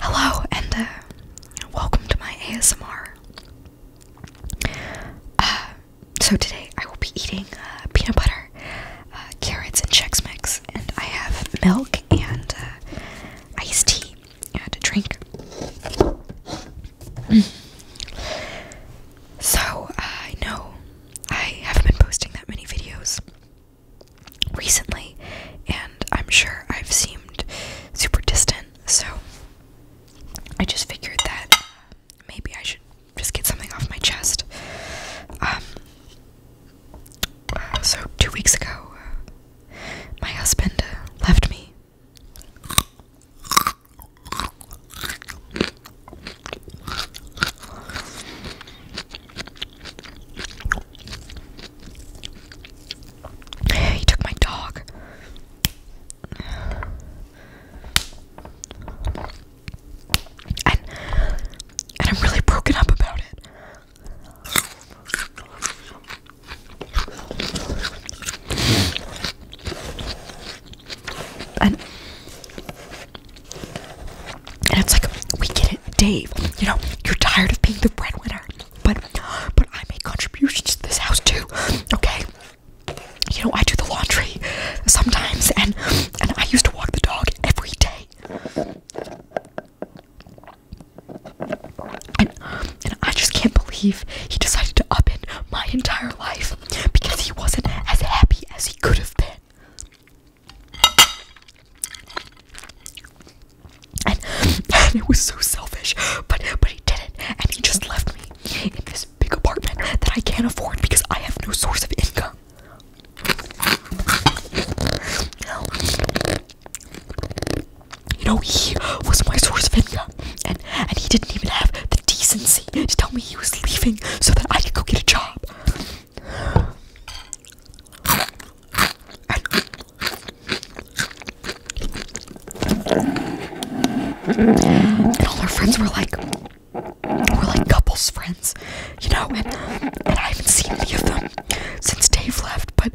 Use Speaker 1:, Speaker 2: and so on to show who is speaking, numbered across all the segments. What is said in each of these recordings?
Speaker 1: Hello and uh, welcome to my ASMR. Uh, so today I will be eating uh, peanut butter, carrots, and Chex Mix, and I have milk and iced tea uh, to drink so uh, I know I haven't been posting that many videos recently, and I'm sure I've seemed super distant. So I just figured that uh, maybe I should just get something off my chest. Um, uh, so two weeks ago, my husband left me. He took my dog. And and I'm really broken up about it. And, and it's like, we get it, Dave. You know, you're tired of being the breadwinner, but but I make contributions to this house too. Okay. You know, I do the laundry sometimes and and I used to walk the dog every day. And, and I just can't believe he decided to upend my entire life because he wasn't as happy as he could have been. And, and it was so selfish, but but he did it, and he just left me in this big apartment that I can't afford because I have no source of income. No. You know, he was my source of income, and and he didn't even have the decency to tell me he was leaving so that I could go get a job. And, all our friends were like, we like couples friends, you know, and, and I haven't seen any of them since Dave left, but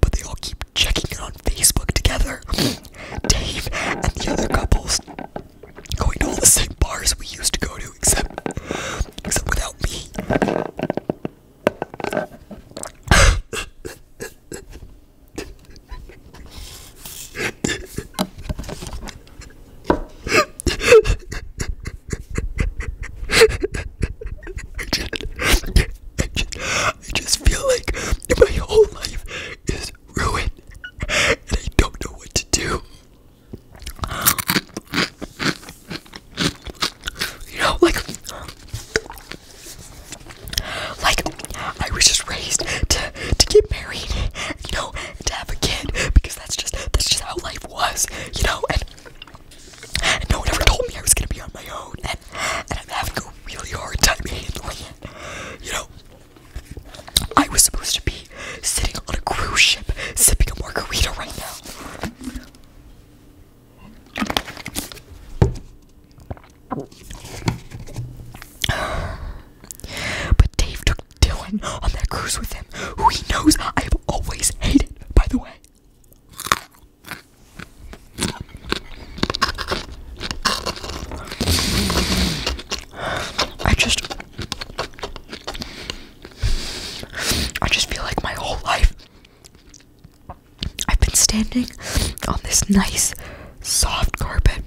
Speaker 1: but they all keep checking it on Facebook together. Dave and the other couples going to all the same bars we used to go to, except except without me. I, just, I, just, feel like my whole life is ruined and I don't know what to do. You know, like, like I was just raised to to get married, you know, to have a kid because that's just that's just how life was, you know. And and no one ever told me I was gonna be on my own, and, I'm having a really hard time handling it. You know, I was supposed to be sitting on a cruise ship, sipping a margarita right now. But Dave took Dylan on that cruise with him, who he knows i Always hate it. by the way. I just I just feel like my whole life I've been standing on this nice soft carpet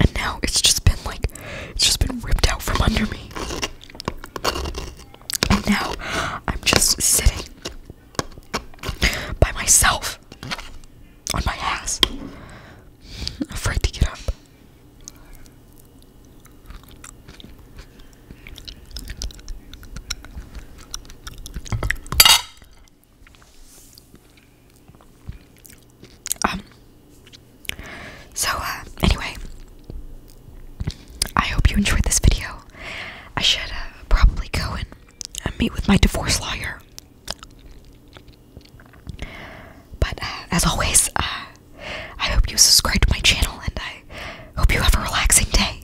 Speaker 1: and now it's just been like it's just been ripped out from under me. And now I'm just sitting by myself on my ass, afraid to get up. Um, so, uh, anyway, I hope you enjoyed this video. I should uh, probably go and uh, meet with my divorce lawyer. But uh, as always, uh, I hope you subscribe to my channel and I hope you have a relaxing day.